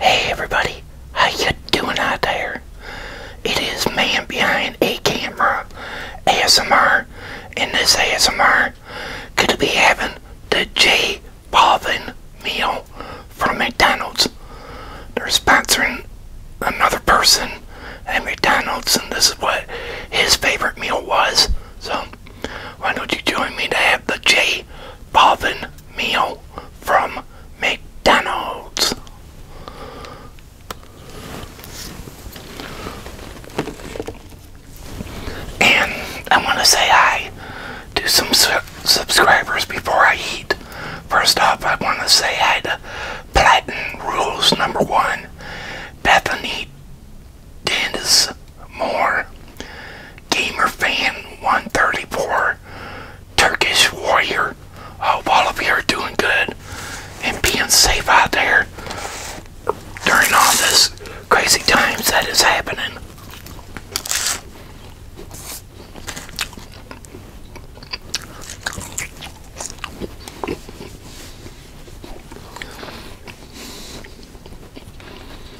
Hey everybody, how you doing out there? It is man behind a camera ASMR, and this ASMR could be having the J Balvin meal from McDonald's. They're sponsoring another person at McDonald's, and this is what his favorite meal was. So, why don't you join me to have the J Balvin meal from McDonald's. And I want to say hi to some subscribers before I eat. First off, I want to say hi to Platin Rules Number One, Bethany Dennis more. Gamer fan 134 Turkish warrior. Hope all of you are doing good and being safe out there during all this crazy times that is happening.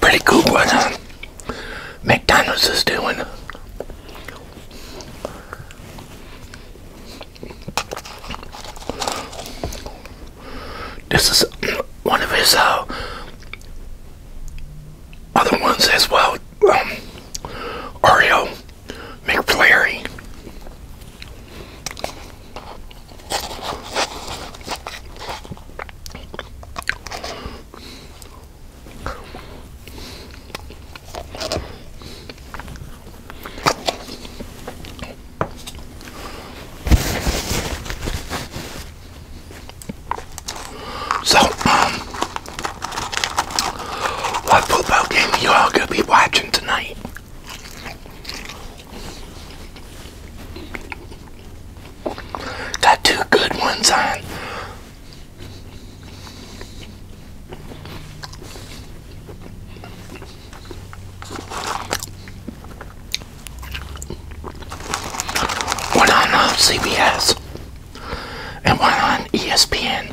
Pretty cool one huh? McDonald's is doing. This is one of his uh, other ones as well. Um, Oreo. McFlurry. So, um, what football game are you all going to be watching tonight? Got two good ones on. One on uh, CBS and one on ESPN.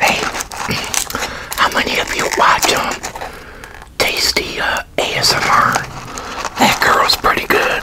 Hey, how many of you watch um, Tasty uh, ASMR? That girl's pretty good.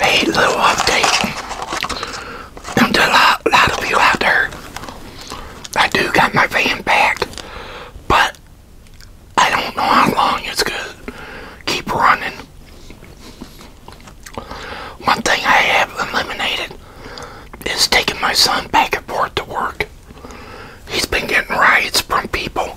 Hey, little update. And to a lot of you out there, I do got my van back, but I don't know how long it's gonna keep running. One thing I have eliminated is taking my son back and forth to work. He's been getting riots from people.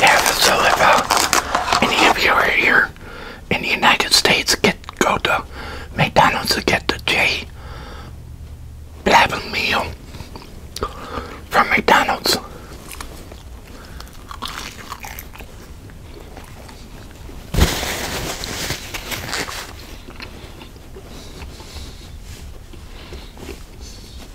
Yeah, so if uh, any of you are here in the United States, get go to McDonald's to get the J. Blabin meal from McDonald's.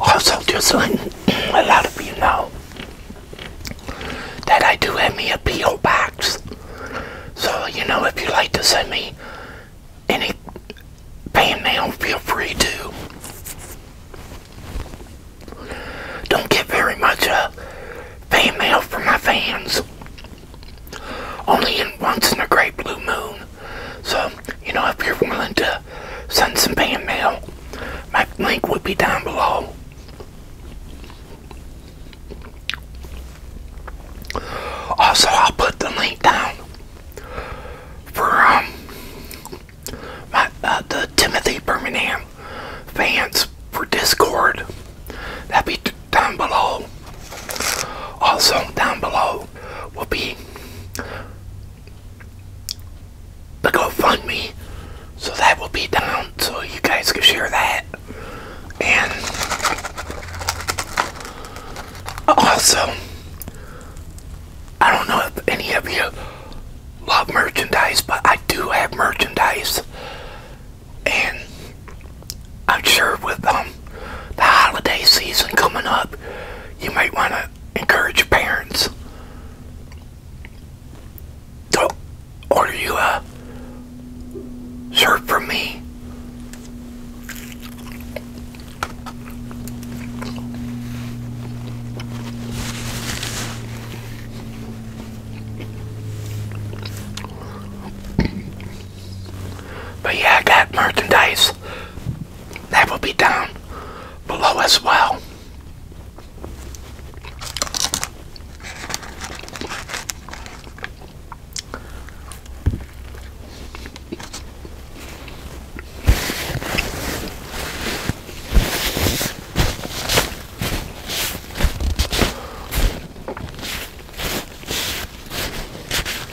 Also, just letting a lot of you know that I do have me a P.O. box. So, you know, if you like to send me any mail, feel free to. Don't get very much uh, mail from my fans. Only in once in a great blue moon so, you know, if you're willing to send some fan mail, my link would be down below. Also, I'll put the link down for um, my, uh, the Timothy Birmingham fans for Discord. That'd be down below. Also, down below will be the GoFundMe. So that will be down so you guys can share that. And also, I don't know if any of you love merchandise, but I do have merchandise. And I'm sure with um, the holiday season coming up, you might want to encourage your parents to order you a shirt for me. But yeah, got merchandise that will be down below as well.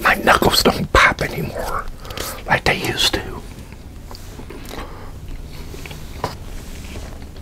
My knuckles don't pop anymore like they used to.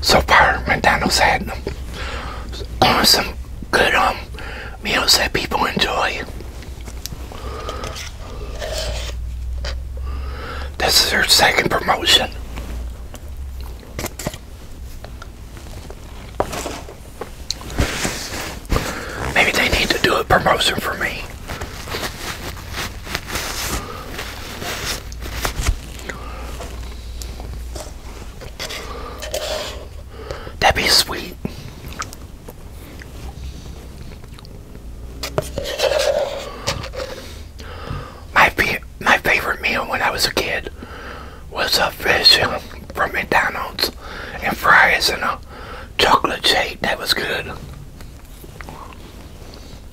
So far, McDonald's had uh, some good um, meals that people enjoy. This is their second promotion. Maybe they need to do a promotion for me. That'd be sweet. My my favorite meal when I was a kid was a fish from McDonald's and fries and a chocolate shake. That was good.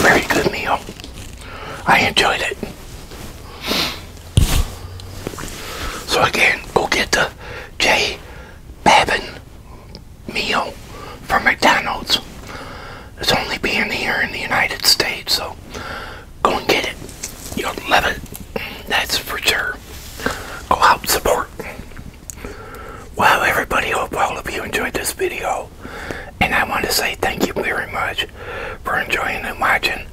Very good meal. I enjoyed it. So again, go get the Jay Babin meal from McDonald's. It's only being here in the United States, so go and get it. You'll love it. That's for sure. Go out and support. Well, everybody, hope all of you enjoyed this video. And I want to say thank you very much for enjoying and watching.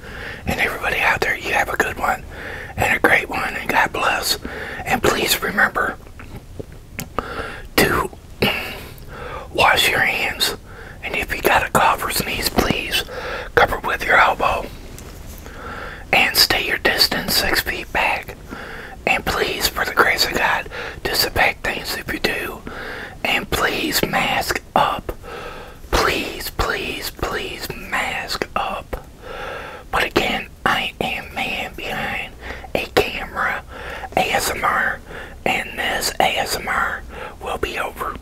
And everybody out there, you have a good one and a great one. And God bless. And please remember to wash your hands. And if you got a cough or sneeze, please cover with your elbow and stay your distance six feet back. And please, for the grace of God, disinfect things if you do. And please mask up. Please, please, please mask up. But again, I am man behind a camera ASMR, and this ASMR will be over.